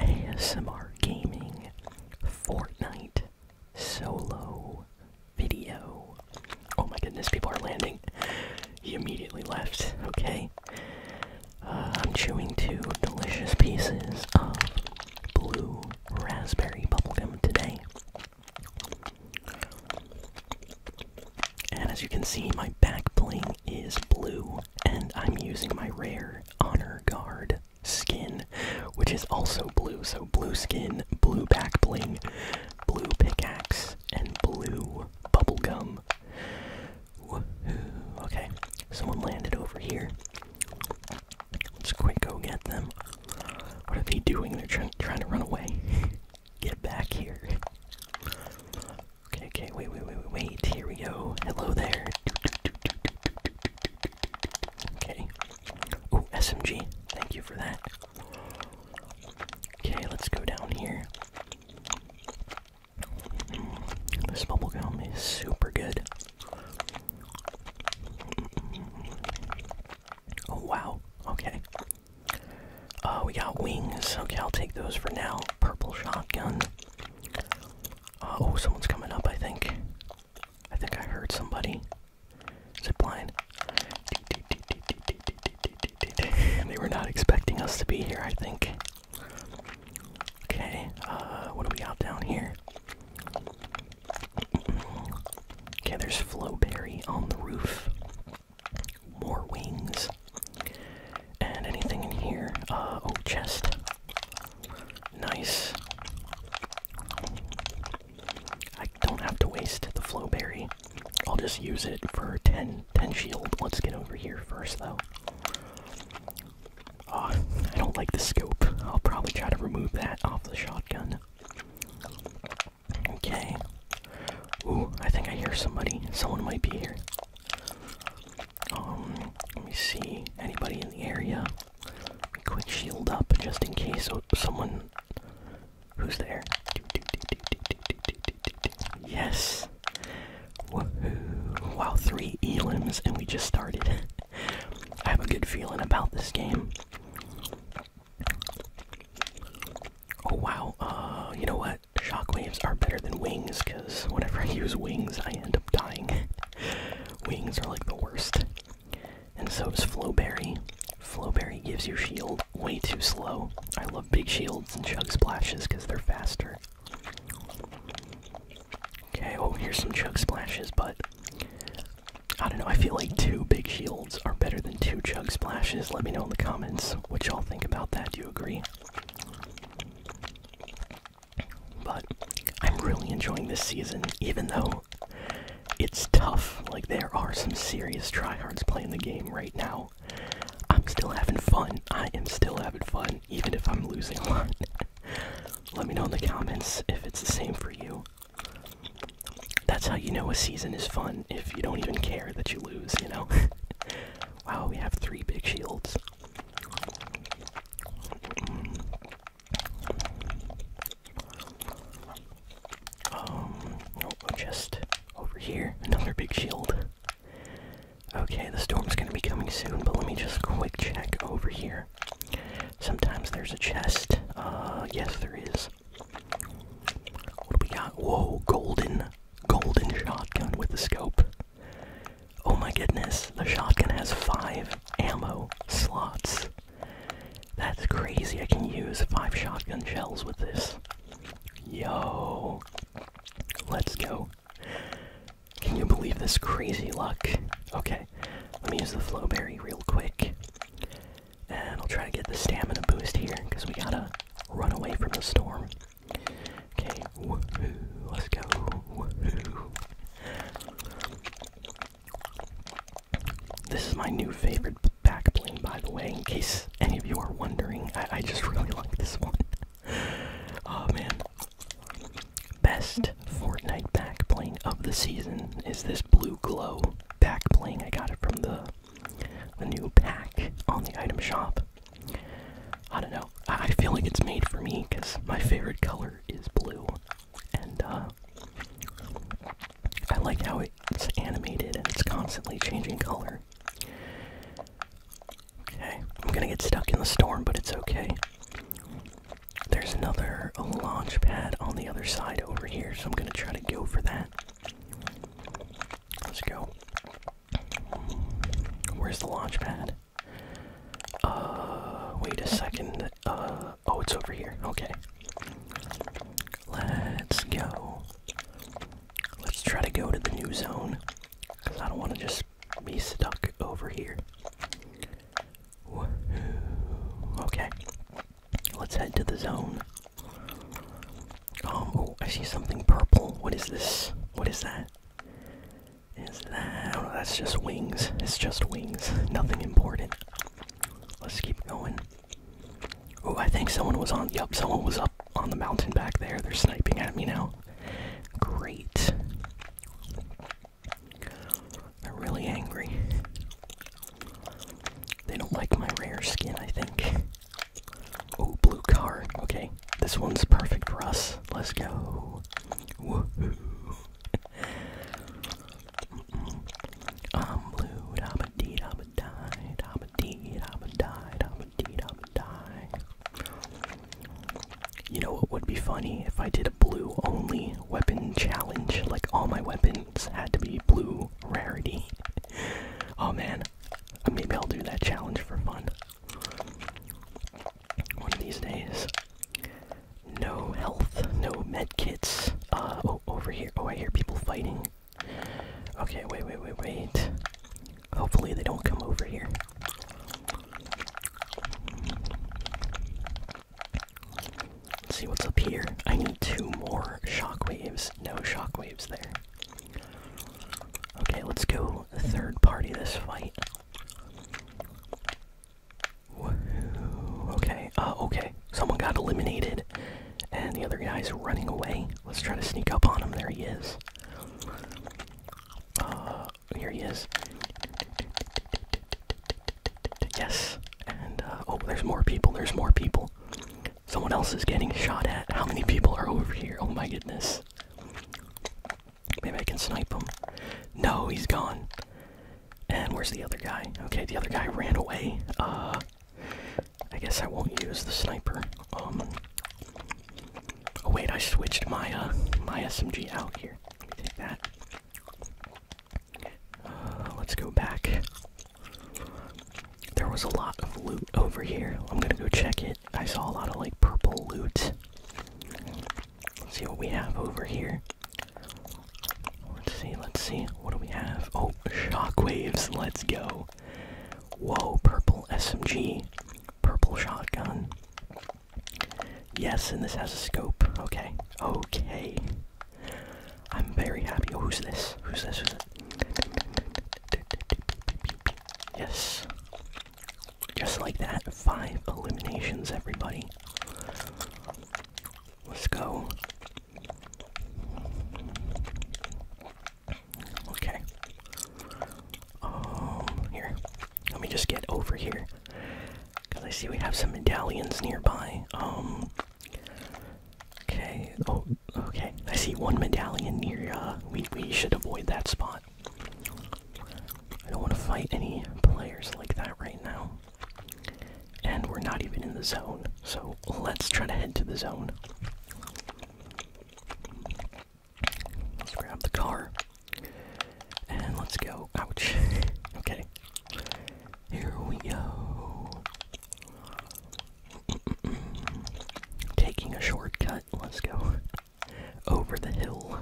ASMR Gaming Fortnite Solo Video. Oh my goodness, people are landing. He immediately left, okay? Uh, I'm chewing two delicious pieces of blue raspberry bubblegum today. And as you can see, my back bling is blue, and I'm using my rare Honor Guard skin, which is also blue. So, blue skin, blue back bling, blue pickaxe, and blue bubble gum. Okay, someone landed over here. Let's quick go get them. What are they doing? They're trying to run away. Get back here. Okay, okay, wait, wait, wait, wait, wait. Here we go. Hello there. Okay. Oh, SMG. Thank you for that. Okay, let's go down here. This bubble bubblegum is super good. Oh, wow. Okay. Oh, we got wings. Okay, I'll take those for now. Purple shotgun. Uh, oh, someone's coming up, I think. I think I heard somebody. Zip line. they were not expecting us to be here, I think. Okay, uh, what do we got down here? okay, there's Flowberry on the roof. More wings. And anything in here? Uh, oh, chest. Nice. I don't have to waste the flow berry. I'll just use it for 10, 10 shield. Let's get over here first, though. Oh, I don't like the scope. I'll probably try to remove that off the shotgun. Okay. Ooh, I think I hear somebody. Someone might be here. Um, let me see. Anybody in the area? Quick shield up just in case someone. Who's there? Yes! Woohoo! Wow, three elims and we just started. I have a good feeling about this game. Oh wow, uh, you know what? shockwaves are better than wings because whenever I use wings, I end up dying. wings are like the worst. And so does Flowberry. Flowberry gives you shield way too slow. I love big shields and chug splashes because they're faster. Okay, well oh, here's some chug splashes, but I don't know, I feel like two big shields are better than two chug splashes. Let me know in the comments what y'all think about that. Do you agree? But I'm really enjoying this season, even though it's tough. Like, there are some serious tryhards playing the game right now. I'm still having fun. I am still having fun, even if I'm losing a lot. Let me know in the comments if it's the same for you. That's how you know a season is fun, if you don't even care that you lose, you know? Wow, we have three big shields. Um, oh, oh, just over here, another big shield. Okay, the storm's gonna be coming soon, but let me just quick check over here. Sometimes there's a chest. Uh, yes, there is. What do we got? Whoa, golden golden shotgun with the scope. Oh my goodness, the shotgun has five ammo slots. That's crazy. I can use five shotgun shells with this. Yo. Let's go. Can you believe this crazy luck? Okay, let me use the flowberry real quick. And I'll try to get the stamina boost here, because we gotta run away from the storm. Okay, woohoo, let's go, woohoo. This is my new favorite backplane, by the way, in case any of you are wondering. I, just really like this one. oh man. Best Fortnite backplane of the season is this blue glow backplane. I got it from the the new pack on the item shop. I don't know. I, feel like it's made for me because my favorite color is blue, and uh, I like how it's animated and it's constantly changing color. Okay, I'm gonna get stuck in the storm, but it's okay. There's another launch pad on the other side over here, so I'm gonna try to go for that. Let's go. Where's the launch pad? Uh, wait a second. Uh, oh, it's over here. Okay. Let's go. Let's try to go to the new zone. Because I don't want to just be stuck over here. Okay. Let's head to the zone. Oh, I see something purple. What is this? What is that? Is that? Oh, that's just wings. It's just wings. Nothing important. Let's keep going. Oh, I think someone was on. Yup, someone was up on the mountain back there. They're sniping at me now. Great. They're really angry. They don't like my rare skin, I think. Oh, blue car. Okay, this one's perfect for us. Let's go. I'm blue. I'm a am a die. I'm a am a die. I'm a am a die. You know what would be funny if I did a blue only weapon challenge? Like all my weapons had to be blue rarity. oh man, Maybe I'll do that challenge for fun. One of these days. No health, no med kits. Uh, oh, over here. Oh, I hear people fighting. Okay, wait, wait, wait, wait. Hopefully they don't come over here. Let's see what's up here. I need two more shockwaves. No shockwaves there. Okay, let's go third party this fight. Okay, uh, okay. Someone got eliminated, and the other guy's running away. Let's try to sneak up on him. There he is. Uh, here he is. Yes, and, uh, oh, there's more people, there's more people. Someone else is getting shot at. How many people are over here? Oh my goodness. Maybe I can snipe him. No, he's gone. And where's the other guy? Okay, the other guy ran away. Uh, I guess I won't use the sniper. Um. Oh wait, I switched my uh, my SMG out here. Let me take that. Uh, let's go back. There was a lot of loot over here. I'm gonna go check it. I saw a lot of like purple loot. see what we have over here. Let's see, let's see. What do we have? Oh, shockwaves. Let's go. Whoa, purple SMG. Purple shotgun. Yes, and this has a scope. Okay. Okay. I'm very happy. Oh, Who's this? Who's this? Yes. Just like that, five eliminations, everybody. Let's go. Okay. Um, here. Let me just get over here. Because I see we have some medallions nearby. Um, Okay. Oh, okay. I see one medallion near. Uh, we we should avoid that spot. I don't want to fight any players like that right now. And we're not even in the zone, so let's try to head to the zone. Let's grab the car. And let's go. Ouch. okay. Here we go. Taking a shortcut, let's go. Over the hill.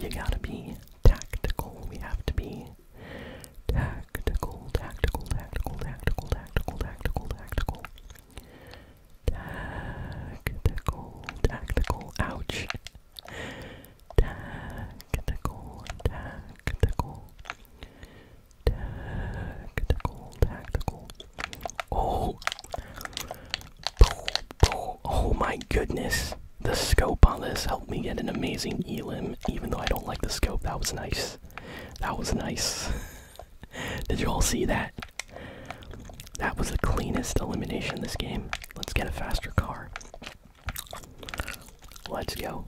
You gotta be tactical. We have to be tactical, tactical, tactical, tactical, tactical, tactical, tactical. Tactical, tactical, ouch. Tactical, tactical. Tactical, tactical. Oh. Oh my goodness. The scope on this helped me get an amazing elim, even though I don't like the scope. That was nice. That was nice. Did you all see that? That was the cleanest elimination this game. Let's get a faster car. Let's go.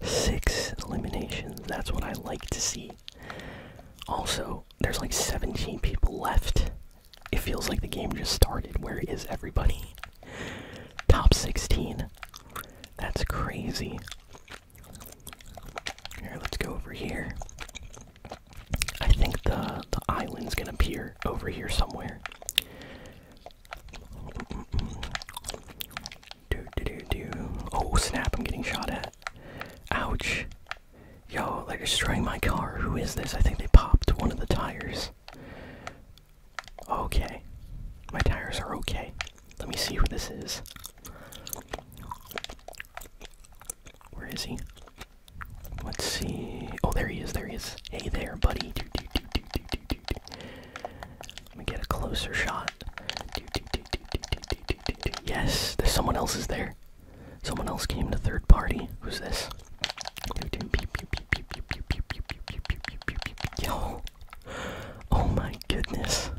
Six eliminations. That's what I like to see. Also, there's like 17 people left. It feels like the game just started. Where is everybody? Top 16. That's crazy. Here, let's go over here. I think the the island's gonna appear over here somewhere. Oh snap! I'm getting shot at. Ouch! Yo, they're destroying my car. Who is this? I think they popped one of the tires. Okay, my tires are okay. Let me see who this is. Where is he? Let's see. Oh, there he is. There he is. Hey there, buddy. Let me get a closer shot. Yes, there's someone else is there. Someone else came to third party. Who's this? Yo. Oh my goodness.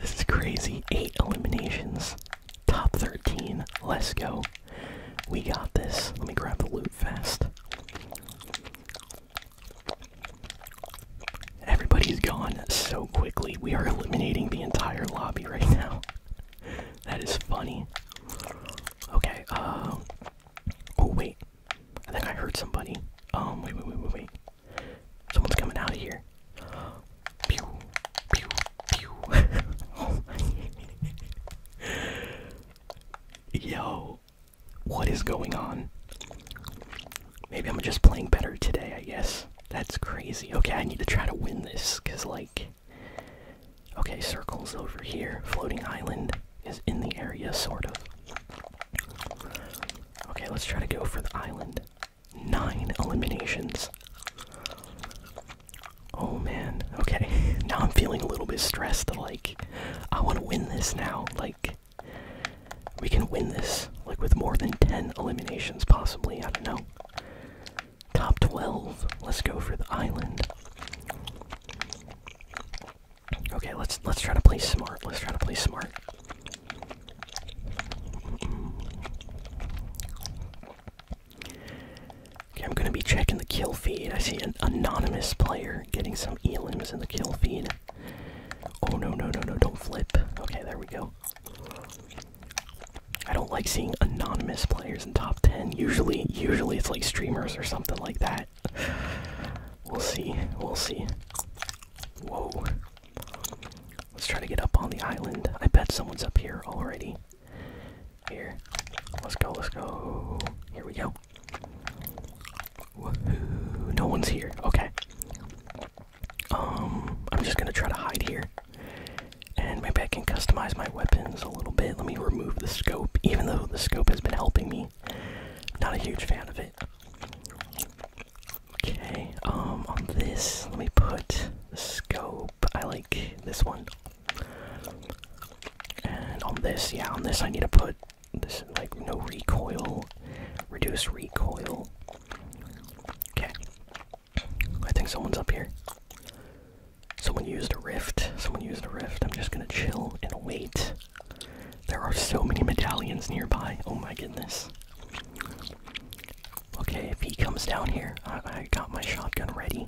this is crazy. Eight eliminations. Top 13. Let's go. We got this. Let me grab the loot fast. Everybody's gone so quickly. We are eliminating the entire lobby right now. That is funny. Okay, um. Oh, wait. I think I heard somebody. Um, wait, wait, wait, wait, wait. Someone's coming out of here. Pew, pew, pew. Oh Yo, what is going on? Maybe I'm just playing better today, I guess. That's crazy. Okay, I need to try to win this, because, like. Okay, circle's over here. Floating island is in the area, sort of. Okay, let's try to go for the island. Nine eliminations. Oh man, okay. Now I'm feeling a little bit stressed. Like, I want to win this now. Like, we can win this. Like, with more than 10 eliminations, possibly. I don't know. Top 12. Let's go for the island. Okay, let's let's try to play smart. Let's try to play smart. I'm gonna be checking the kill feed. I see an anonymous player getting some elims in the kill feed. Oh no no no no! Don't flip. Okay, there we go. I don't like seeing anonymous players in top ten. Usually, usually it's like streamers or something like that. We'll see. We'll see. Whoa. Let's try to get up on the island. I bet someone's up here already. Here. Let's go, let's go. Here we go. No one's here. Okay. Um, I'm just gonna try to hide here. And maybe I can customize my weapons a little bit. Let me remove the scope, even though the scope has been helping me. Not a huge fan of it. Okay, um, on this, let me put the scope. I like this one and on this, yeah, on this I need to put this like no recoil, reduce recoil. Okay. I think someone's up here. Someone used a rift. Someone used a rift. I'm just gonna chill and wait. There are so many medallions nearby. Oh my goodness. Okay, if he comes down here, I, I got my shotgun ready.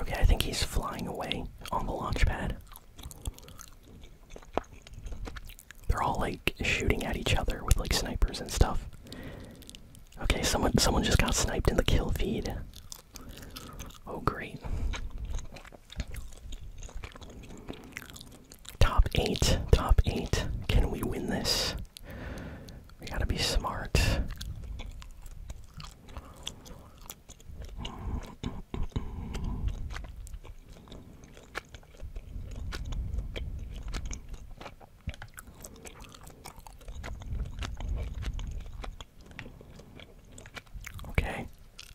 Okay, I think he's flying away on the launch pad. They're all like shooting at each other with like snipers and stuff. Okay, someone someone just got sniped in the kill feed. Oh great. Top 8, top 8. Can we win this? We gotta be smart. Okay.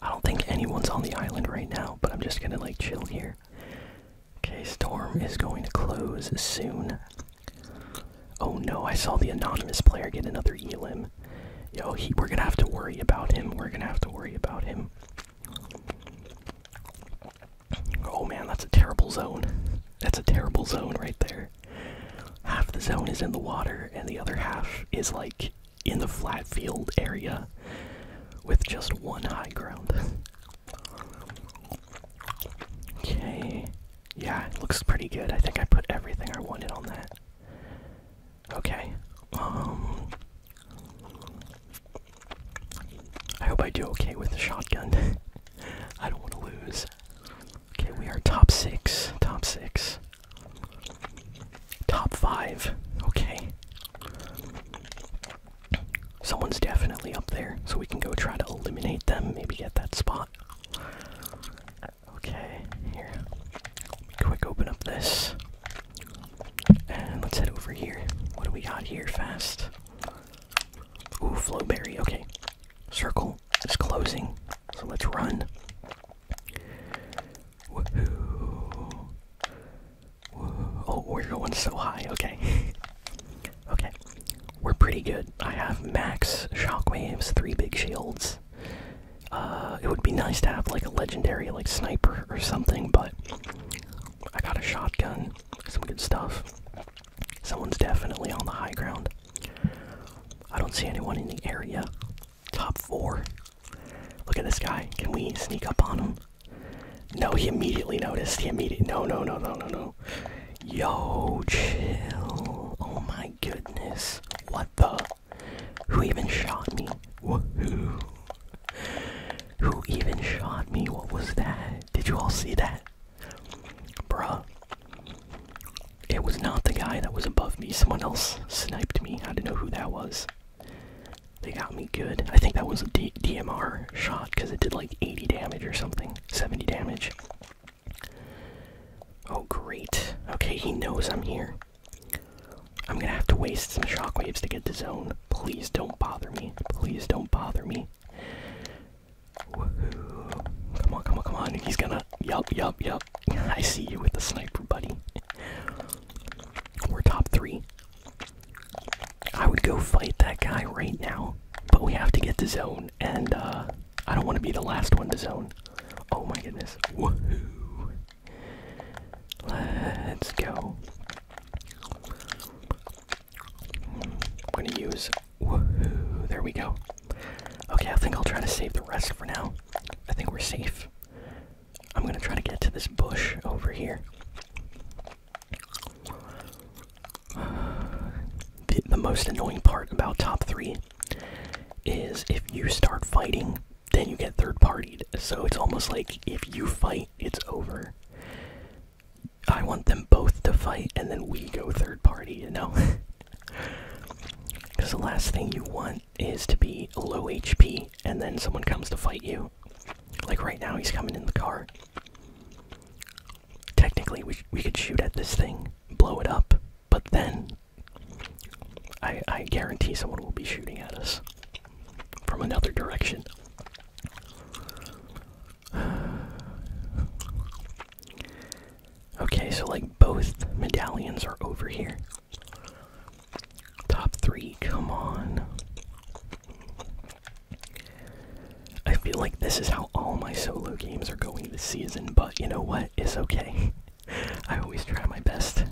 I don't think anyone's on the island right now, but I'm just gonna like chill here. Okay, Storm is going to close soon. Oh no, I saw the anonymous player get another Elim. Yo, we're gonna have to worry about him. We're gonna have to worry about him. Oh man, that's a terrible zone. That's a terrible zone right there. Half the zone is in the water, and the other half is like in the flat field area with just one high ground. Okay. Yeah, it looks pretty good. I think I put everything I wanted on that. Okay. Um I hope I do okay with the shotgun. I don't want to lose. Okay, we are top 6. Top 6. Top 5. Okay. Someone's definitely up there, so we can go try to eliminate them, maybe get that spot. Okay, here. Let me quick open up this. And let's head over here. What do we got here fast? Ooh, Flowberry, okay. Circle is closing, so let's run. Oh, we're going so high. Okay. okay. We're pretty good. I have max shockwaves, three big shields. Uh, it would be nice to have like a legendary like sniper or something, but I got a shotgun, some good stuff. Someone's definitely on the high ground. I don't see anyone in the area. Top four. Look at this guy. Can we sneak up on him? No, he immediately noticed. He immediate No, no, no, no, no, no. Yo, chill. Oh my goodness. What the? Who even shot me? Woohoo. Who even shot me? What was that? Did you all see that? Bruh. It was not the guy that was above me. Someone else sniped me. I don't know who that was. They got me good. I think that was a DMR shot because it did like 80 damage or something. 70 damage. Oh, great. Okay, he knows I'm here. I'm gonna have to waste some shockwaves to get to zone. Please don't bother me. Please don't bother me. Woohoo. Come on, come on, come on. He's gonna. Yup, yup, yup. I see you with the sniper, buddy. We're top three. I would go fight that guy right now, but we have to get to zone, and uh, I don't want to be the last one to zone. Oh my goodness. Woohoo. Let's go. I'm gonna use. Woohoo. There we go. Okay, I think I'll try to save the rest for now. I think we're safe. I'm gonna try to get to this bush over here. The, most annoying part about top three is if you start fighting, then you get third partied. So it's almost like if you fight, it's over. I want them both to fight and then we go third party, you know? Because the last thing you want is to be low HP and then someone comes to fight you. Like right now, he's coming in the car. Technically, we we could shoot at this thing, blow it up, but then I I guarantee someone will be shooting at us from another direction. Okay, so like both medallions are over here. Top three, come on. I feel like this is how all my solo games are going this season, but you know what? It's okay. I always try my best.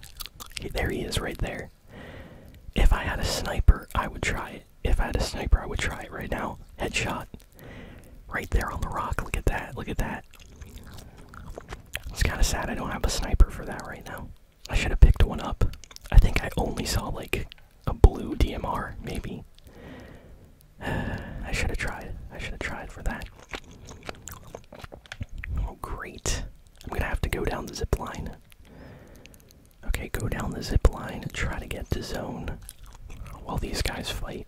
there he is right there. If I had a sniper, I would try it. If I had a sniper, I would try it right now. Headshot. Right there on the rock. Look at that. Look at that. It's kind of sad I don't have a sniper for that right now. I should have picked one up. I think I only saw like a blue DMR, maybe. I should have tried. I should have tried for that. Oh, great. I'm gonna have to go down the zip line. Okay, go down the zip line and try to get to zone while these guys fight.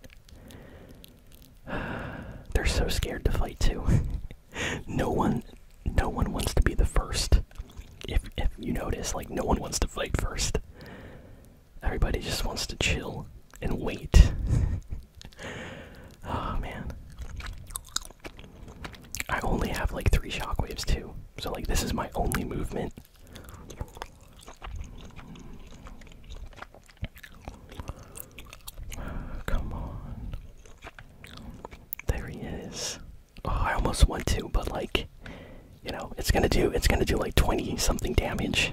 they're so scared to fight too. no one no one wants to be the first. If if you notice, like no one wants to fight first. Everybody just wants to chill and wait. oh man. I only have like three shockwaves too. So like this is my only movement. Come on. There he is. Oh, I almost want to, but like, you know, it's gonna do it's gonna do like twenty something damage,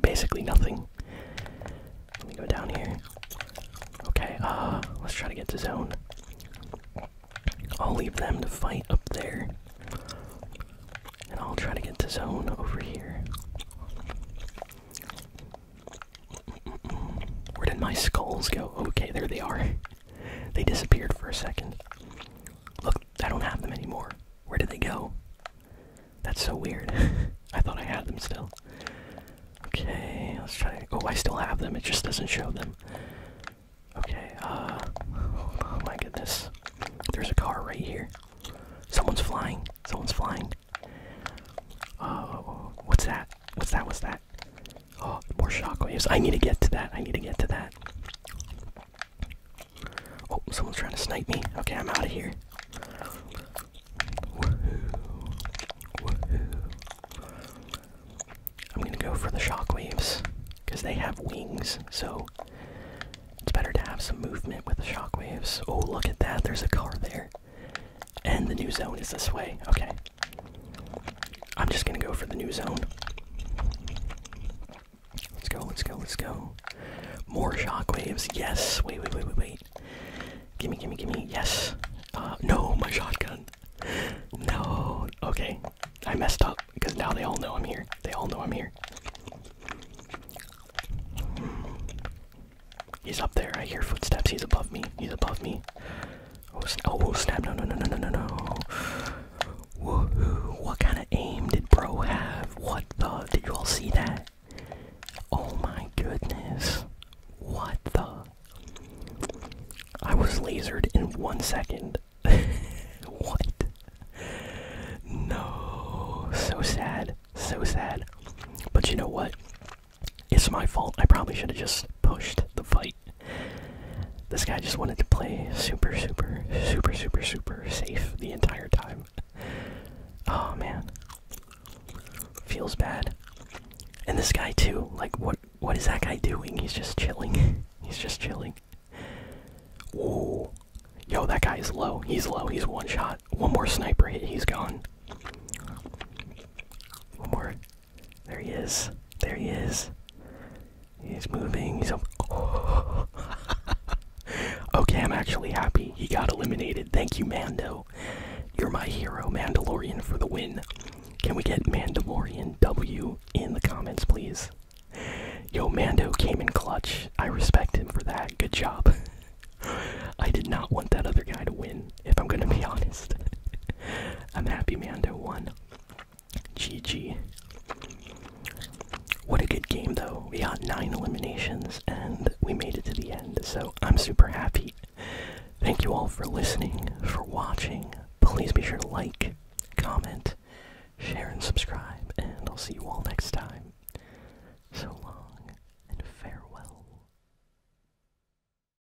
basically nothing. Let me go down here. Okay, uh, let's try to get to zone. I'll leave them to fight up there, and I'll try to get to zone over here. Where did my skulls go? Okay, there they are. They disappeared for a second. Look, I don't have them anymore. Where did they go? That's so weird. I thought I had them still. Okay, let's try. Oh, I still have them. It just doesn't show them. Okay, uh. Oh my goodness. There's a car right here. Someone's flying. Someone's flying. Oh, what's that? What's that? What's that? Oh, more shockwaves. I need to get to that. I need to get to that. Oh, someone's trying to snipe me. Okay, I'm out of here. I'm gonna go for the shockwaves. Because they have wings, so it's better to have some movement with the shockwaves. Oh, look at that. There's a car there. And the new zone is this way. Okay. I'm just gonna go for the new zone. Let's go, let's go, let's go. More shockwaves, yes. Wait, wait, wait, wait, wait. Gimme, gimme, gimme, yes. Uh, no, my shotgun. No, okay. I messed up because now they all know I'm here. They all know I'm here. He's up there. I hear footsteps. He's above me. He's above me. Oh, sna oh snap! No, no, no, no, no, no, no. Woohoo! What kind of aim did bro have? What the? Did you all see that? Oh my goodness! What the? I was lasered in one second. what? No. So sad. So sad. But you know what? It's my fault. I probably should have just pushed the fight. This guy just wanted to play super, super, super, super, super safe the entire time. Oh man. Feels bad. And this guy too, like what what is that guy doing? He's just chilling. He's just chilling. Ooh, Yo, that guy is low. He's low. He's one shot. One more sniper hit, he's gone. One more there he is. There he is. He's moving. He's okay, I'm actually happy he got eliminated. Thank you, Mando. You're my hero, Mandalorian, for the win. Can we get Mandalorian W in the comments, please? Yo, Mando came in clutch. I respect him for that. Good job. I did not want that other guy to win if I'm gonna be honest. I'm happy Mando won. GG. What a good game, though. We had nine eliminations and we made it to the end, so I'm super happy. Thank you all for listening, for watching. Please be sure to like, comment, share, and subscribe, and I'll see you all next time. So long and farewell.